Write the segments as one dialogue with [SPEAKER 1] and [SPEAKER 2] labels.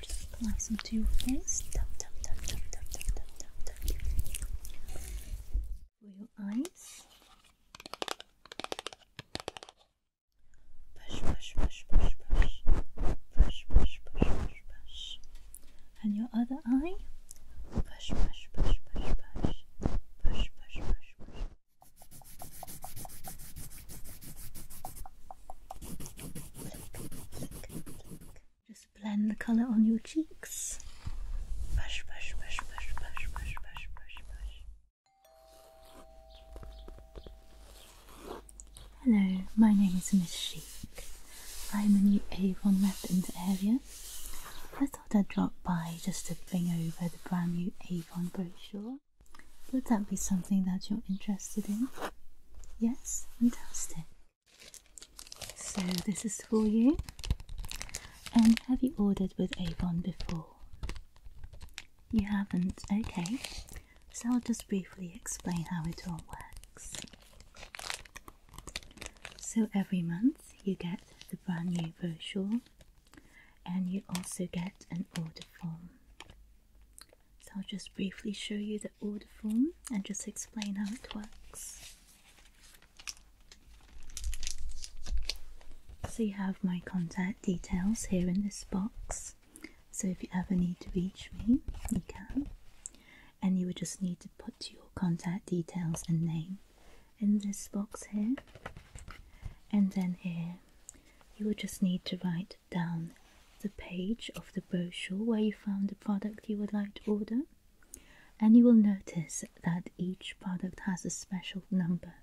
[SPEAKER 1] Just some to your face. Tap, tap, tap, tap, tap, tap, tap, tap, tap. For your eyes. Push, push, push, push, push. Push, push, push, push, push. And your other eye. Push, push, push, push, push. Push, push, push, push. Just blend the color on your cheeks. Hello, my name is Miss Chic. I'm a new Avon rep in the area. I thought I'd drop by just to bring over the brand new Avon brochure. Would that be something that you're interested in? Yes, fantastic. So, this is for you. And have you ordered with Avon before? You haven't? Okay. So, I'll just briefly explain how it all works. So, every month you get the brand new brochure and you also get an order form. So I'll just briefly show you the order form and just explain how it works. So you have my contact details here in this box. So if you ever need to reach me, you can. And you would just need to put your contact details and name in this box here. And then here you will just need to write down the page of the brochure where you found the product you would like to order, and you will notice that each product has a special number,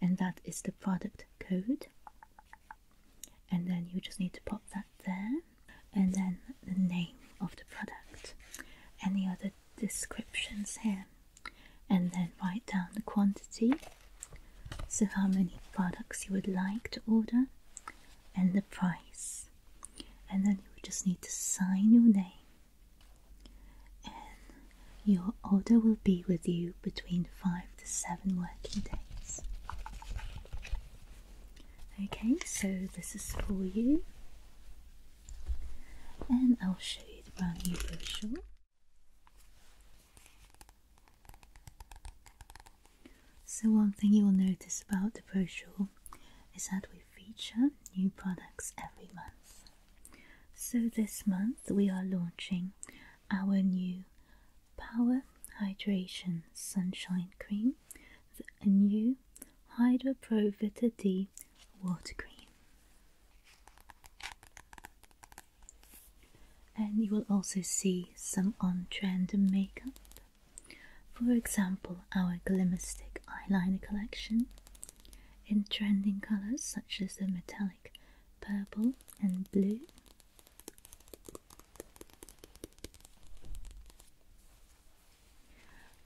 [SPEAKER 1] and that is the product code. And then you just need to pop that there, and then the name of the product, any other descriptions here, and then write down the quantity so how many products you would like to order and the price and then you would just need to sign your name and your order will be with you between 5 to 7 working days okay so this is for you and I'll show you the brand new brochure so one thing you will notice about the brochure is that we feature new products every month. So this month we are launching our new Power Hydration Sunshine Cream, a new Hydro Pro Vita D Water Cream and you will also see some on-trend makeup. For example, our Glimmer Stick eyeliner collection in trending colours such as the metallic purple and blue.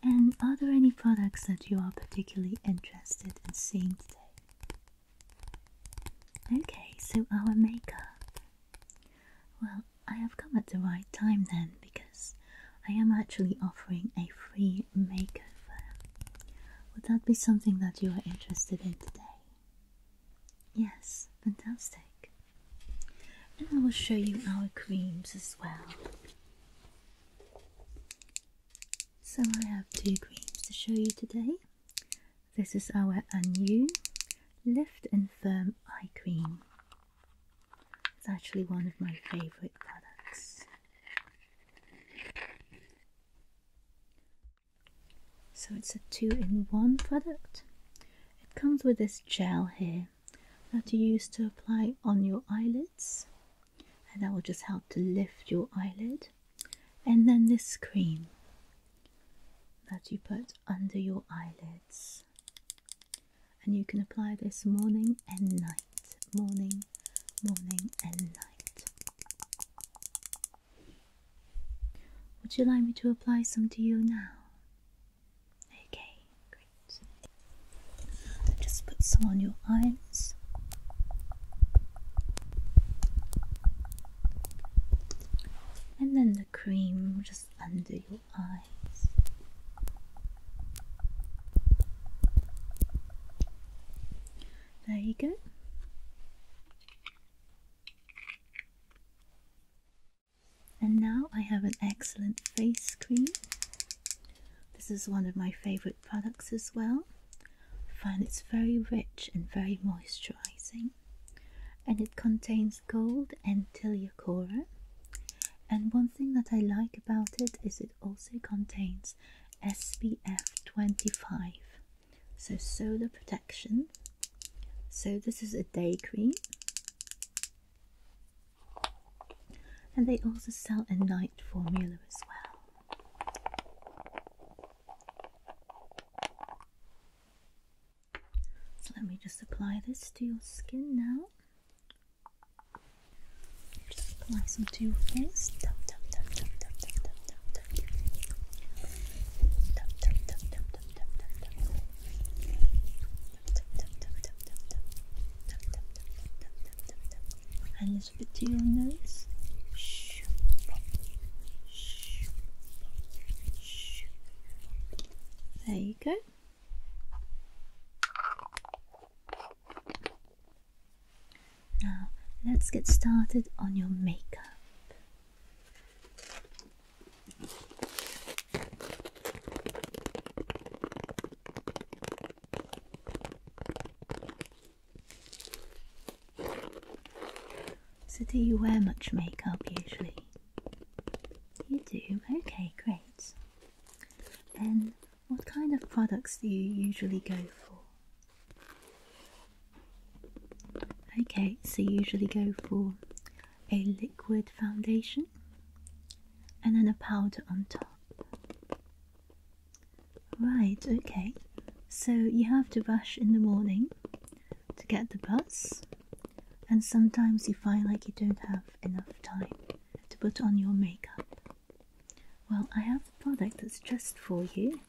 [SPEAKER 1] And are there any products that you are particularly interested in seeing today? Okay, so our makeup. Well, I have come at the right time then because I am actually offering a free makeover. Would that be something that you are interested in today? Yes, fantastic. And I will show you our creams as well. So I have two creams to show you today. This is our Anu Lift and Firm Eye Cream. It's actually one of my favorite products. So it's a two in one product. It comes with this gel here that you use to apply on your eyelids, and that will just help to lift your eyelid. And then this cream that you put under your eyelids. And you can apply this morning and night. Morning, morning, and night. Would you like me to apply some to you now? Okay, great. Just put some on your eyes and then the cream just under your eyes. There you go. And now I have an excellent face cream. This is one of my favorite products as well. I find it's very rich and very moisturizing and it contains gold and teleochora. And one thing that I like about it is it also contains SPF 25, so solar protection. So, this is a day cream, and they also sell a night formula as well. So let me just apply this to your skin now. Just apply some to your face. And dum, dum, dum, dum, bit to your nose. Shh. There you go. Now, let's get started on your makeup. So, do you wear much makeup usually? You do? Okay, great. And what kind of products do you usually go for? Okay, so you usually go for a liquid foundation and then a powder on top. Right, okay. So you have to rush in the morning to get the bus, and sometimes you find like you don't have enough time to put on your makeup. Well, I have a product that's just for you,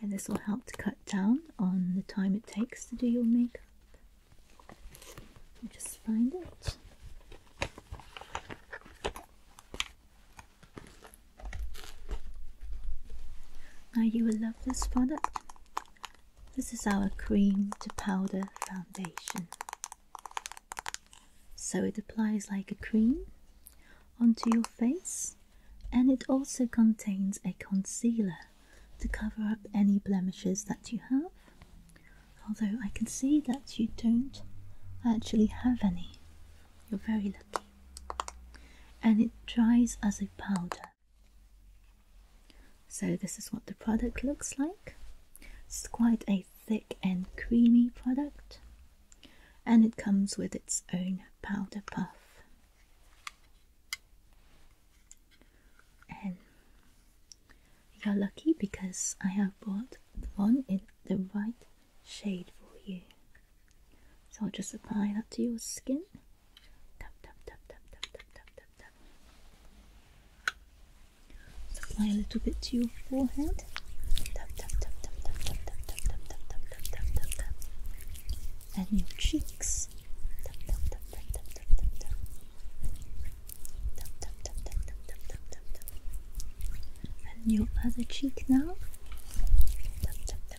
[SPEAKER 1] and this will help to cut down on the time it takes to do your makeup. Just find it. Now you will love this product. This is our cream to powder foundation. So it applies like a cream onto your face and it also contains a concealer to cover up any blemishes that you have. Although I can see that you don't actually have any. You're very and it dries as a powder. So, this is what the product looks like. It's quite a thick and creamy product, and it comes with its own powder puff. And you're lucky because I have bought the one in the right shade for you. So I'll just apply that to your skin. Tap, tap, tap, tap, tap, tap, tap, tap, tap. apply a little bit to your forehead. Tap, tap, tap, tap, tap, tap, tap, tap, tap, tap, tap, tap, tap, And your cheeks. tap, tap, tap, tap. Tap, tap, tap, tap, tap, tap, tap, tap, tap. And your other cheek now. Tap, tap, tap,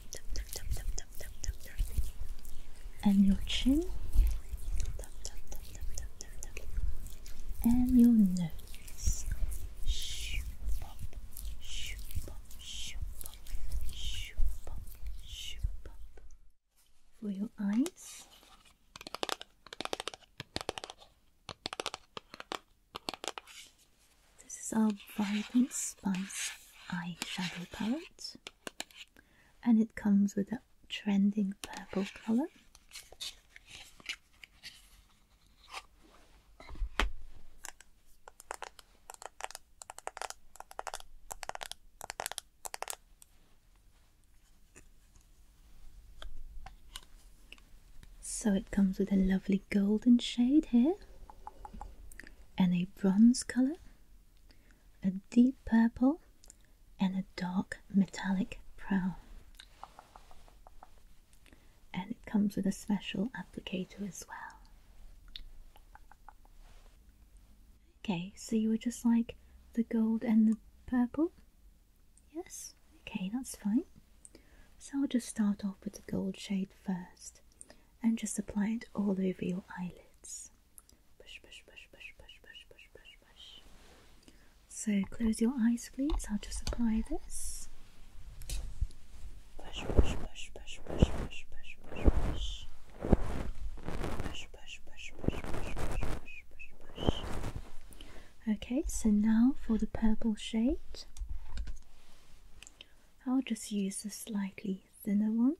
[SPEAKER 1] and your chin and your nose for your eyes this is our Vibrant Spice eyeshadow palette, and it comes with a trending purple color. So it comes with a lovely golden shade here and a bronze color, a deep purple, and a dark metallic brown. And it comes with a special applicator as well. Okay, so you were just like the gold and the purple? Yes? Okay, that's fine. So I'll just start off with the gold shade first and just apply it all over your eyelids. So close your eyes, please. I'll just apply this. Okay, so now for the purple shade. I'll just use a slightly thinner one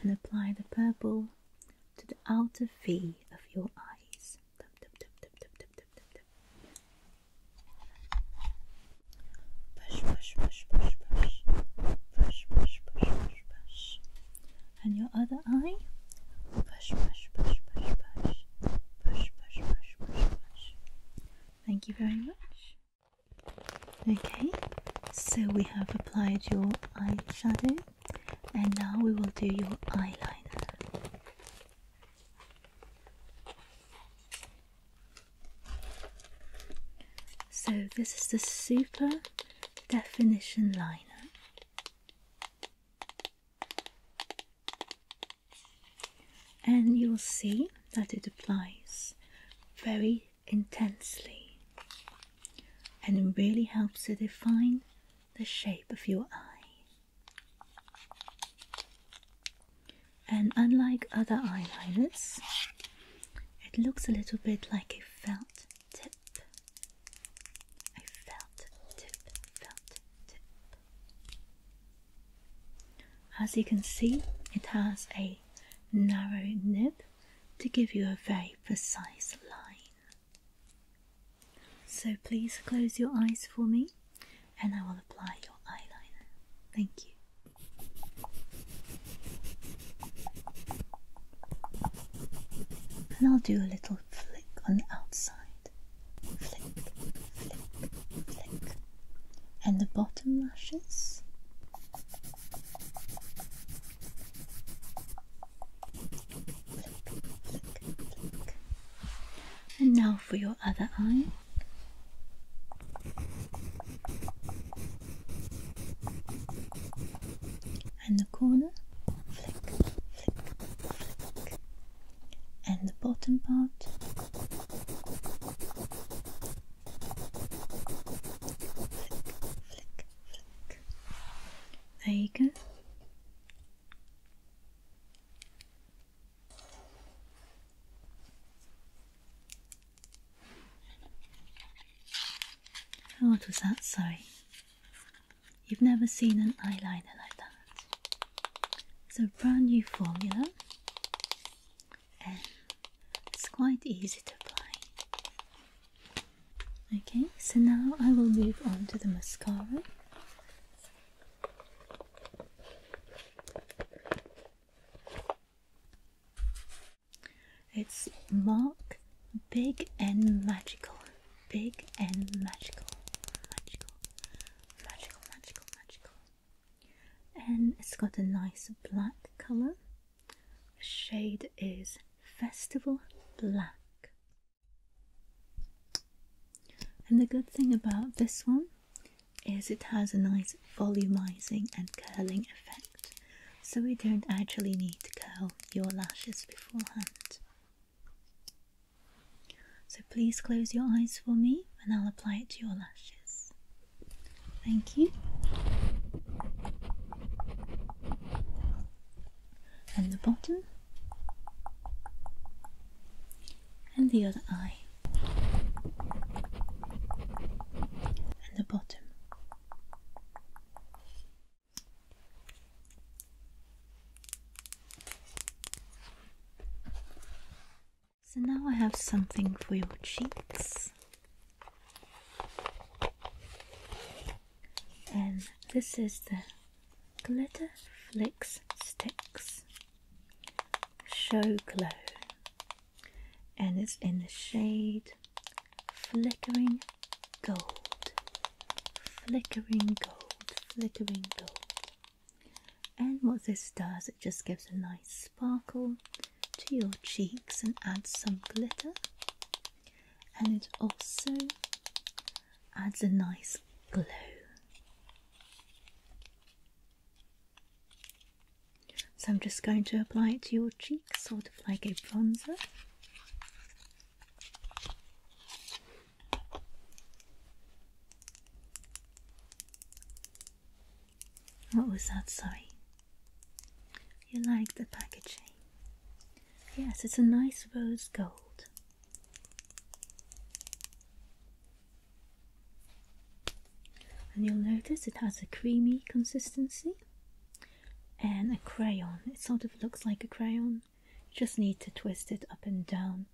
[SPEAKER 1] and apply the purple to the outer V of your eyes. Push, push, push, push, push, push, push, push, push, push. And your other eye, push, push, push, push, push, push, push, push, push, push. Thank you very much. Okay, so we have applied your eyeshadow and now we will do your eyeliner. So this is the super definition liner and you'll see that it applies very intensely and really helps to define the shape of your eye. And unlike other eyeliners, it looks a little bit like a felt tip. A felt tip, felt tip. As you can see, it has a narrow nib to give you a very precise line. So please close your eyes for me and I will apply your eyeliner. Thank you. And I'll do a little flick on the outside. Flick, flick, flick and the bottom lashes. And now for your other eye. And the corner, And the bottom part, there you go. What was that? Sorry. You've never seen an eyeliner like that. It's a brand new formula. Um, it's quite easy to apply. Okay, so now I will move on to the mascara. It's Mark Big and Magical. Big and Magical. Magical. Magical, magical, magical and it's got a nice black color. The shade is Festival Black. And the good thing about this one is it has a nice volumizing and curling effect, so you don't actually need to curl your lashes beforehand. So please close your eyes for me and I'll apply it to your lashes. Thank you. And the bottom. And the other eye. And the bottom. So now I have something for your cheeks. And this is the Glitter Flicks Sticks Show Glow. And it's in the shade Flickering Gold. Flickering Gold. Flickering Gold. And what this does, it just gives a nice sparkle to your cheeks and adds some glitter. And it also adds a nice glow. So I'm just going to apply it to your cheeks, sort of like a bronzer. What was that? Sorry. You like the packaging? Yes, it's a nice rose gold. And you'll notice it has a creamy consistency and a crayon. It sort of looks like a crayon. You just need to twist it up and down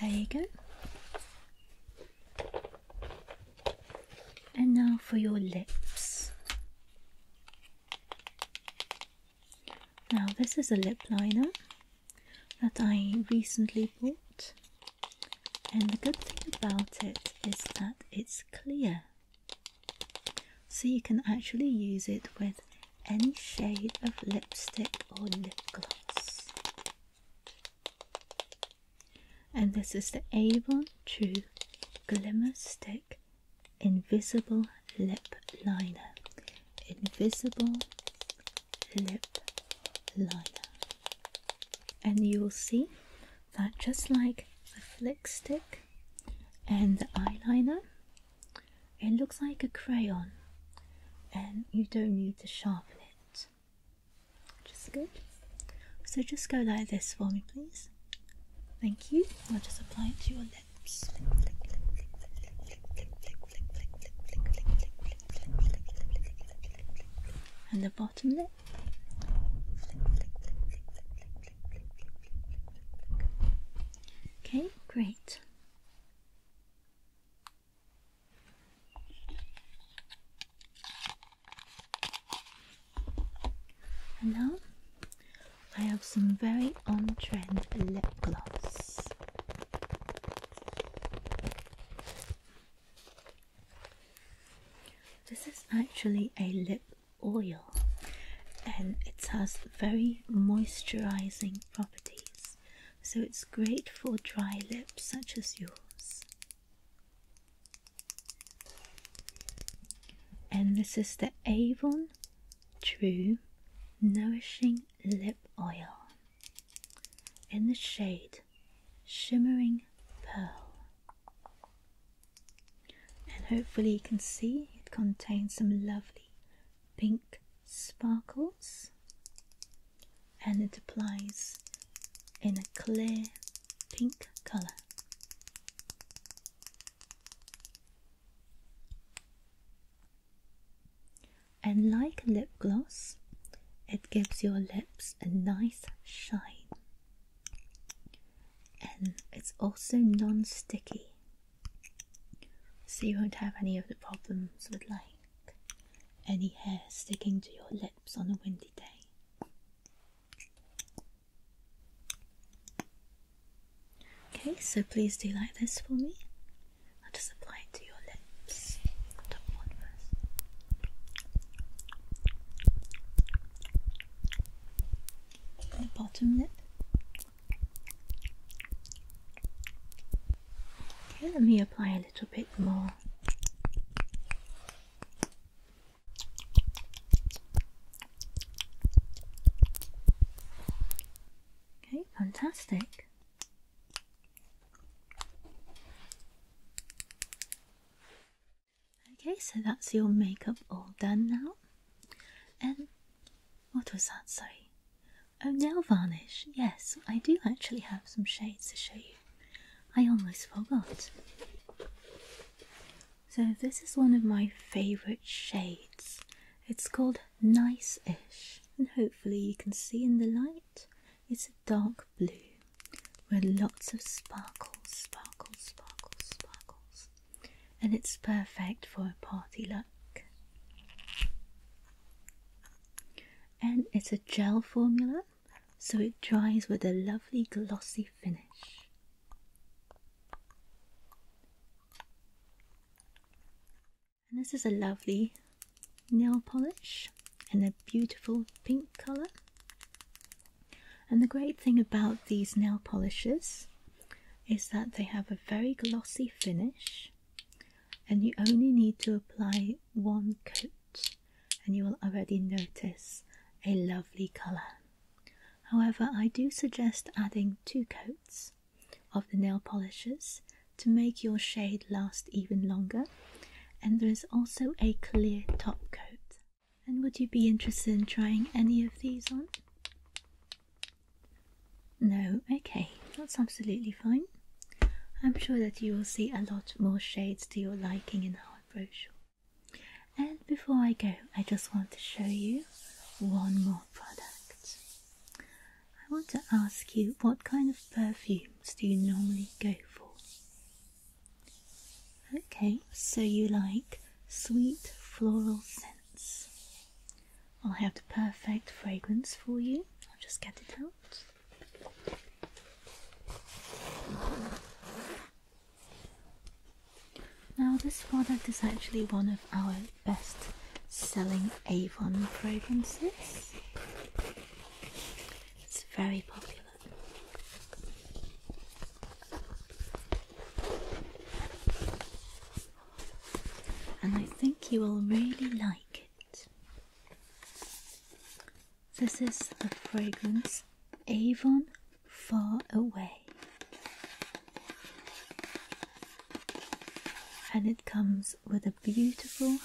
[SPEAKER 1] there you go. And now for your lips. Now, this is a lip liner that I recently bought. And the good thing about it is that it's clear. So you can actually use it with any shade of lipstick or lip gloss. And this is the Avon True Glimmer Stick Invisible Lip Liner. Invisible Lip Liner and you will see that just like the flick stick and the eyeliner, it looks like a crayon and you don't need to sharpen it. Which is good. So just go like this for me, please. Thank you. I'll just apply it to your lips. And the bottom. Okay, great. And now I have some very on trend lip gloss. This is actually a lip oil and it has very moisturizing properties, so it's great for dry lips such as yours. And this is the Avon True Nourishing Lip Oil in the shade Shimmering Pearl. And hopefully, you can see it contains some lovely pink sparkles and it applies in a clear pink color. And like lip gloss, it gives your lips a nice shine and it's also non sticky, so you won't have any of the problems with like any hair sticking to your lips on a windy day. Okay, so please do like this for me. I'll just apply it to your lips. The bottom lip. Okay, let me apply a little bit more. Okay, fantastic. Okay, so that's your makeup all done now. And what was that? Sorry. Oh, nail varnish. Yes, I do actually have some shades to show you. I almost forgot. So, this is one of my favorite shades. It's called Nice Ish, and hopefully, you can see in the light it's a dark blue with lots of sparkles, sparkles, sparkles, sparkles. And it's perfect for a party look. And it's a gel formula, so it dries with a lovely glossy finish. And this is a lovely nail polish in a beautiful pink color. And the great thing about these nail polishes is that they have a very glossy finish, and you only need to apply one coat, and you will already notice a lovely color. However, I do suggest adding two coats of the nail polishes to make your shade last even longer and there is also a clear top coat. And would you be interested in trying any of these on? No, okay, that's absolutely fine. I'm sure that you will see a lot more shades to your liking in our brochure. And before I go, I just want to show you one more product. I want to ask you what kind of perfume do you normally go for? Okay, so you like sweet floral scents. I'll have the perfect fragrance for you. I'll just get it out. Now, this product is actually one of our best selling Avon fragrances. It's very popular. And I think you will really like it. This is the fragrance Avon Far Away. And it comes with a beautiful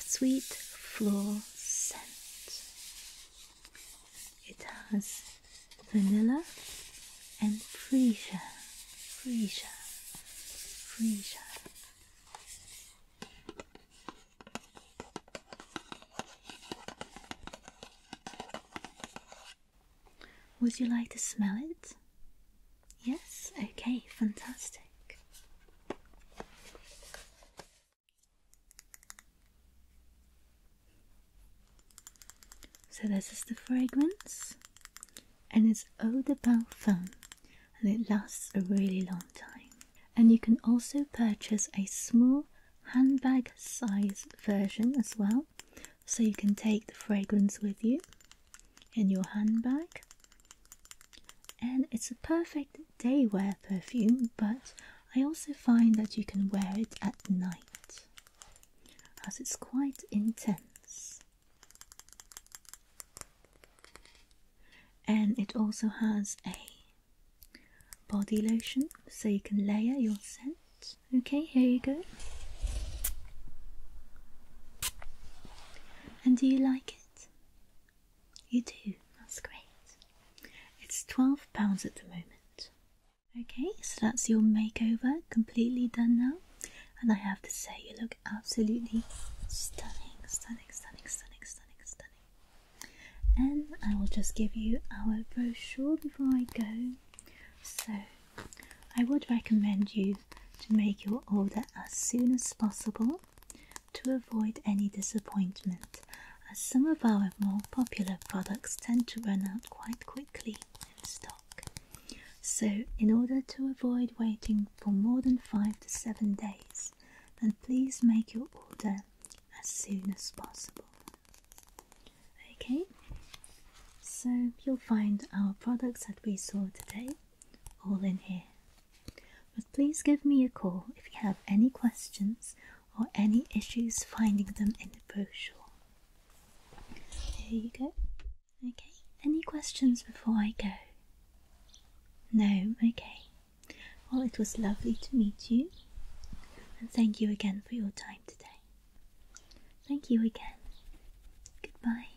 [SPEAKER 1] sweet floor scent. It has vanilla and freesia, freesia, freesia. Would you like to smell it? Yes? Okay, fantastic. So this is the fragrance and it's eau de parfum and it lasts a really long time. And you can also purchase a small handbag size version as well. So you can take the fragrance with you in your handbag. And it's a perfect day wear perfume, but I also find that you can wear it at night as it's quite intense. And it also has a body lotion so you can layer your scent. Okay, here you go. And do you like it? You do, that's great. It's £12 at the moment. Okay, so that's your makeover completely done now. And I have to say, you look absolutely stunning, stunning, stunning, stunning, stunning, stunning. And I will just give you our brochure before I go. So, I would recommend you to make your order as soon as possible to avoid any disappointment, as some of our more popular products tend to run out quite quickly in stock. So, in order to avoid waiting for more than five to seven days, then please make your order as soon as possible. Okay, so you'll find our products that we saw today all in here. But please give me a call if you have any questions or any issues finding them in the brochure. There you go. Okay, any questions before I go? No, okay. Well, it was lovely to meet you, and thank you again for your time today. Thank you again. Goodbye.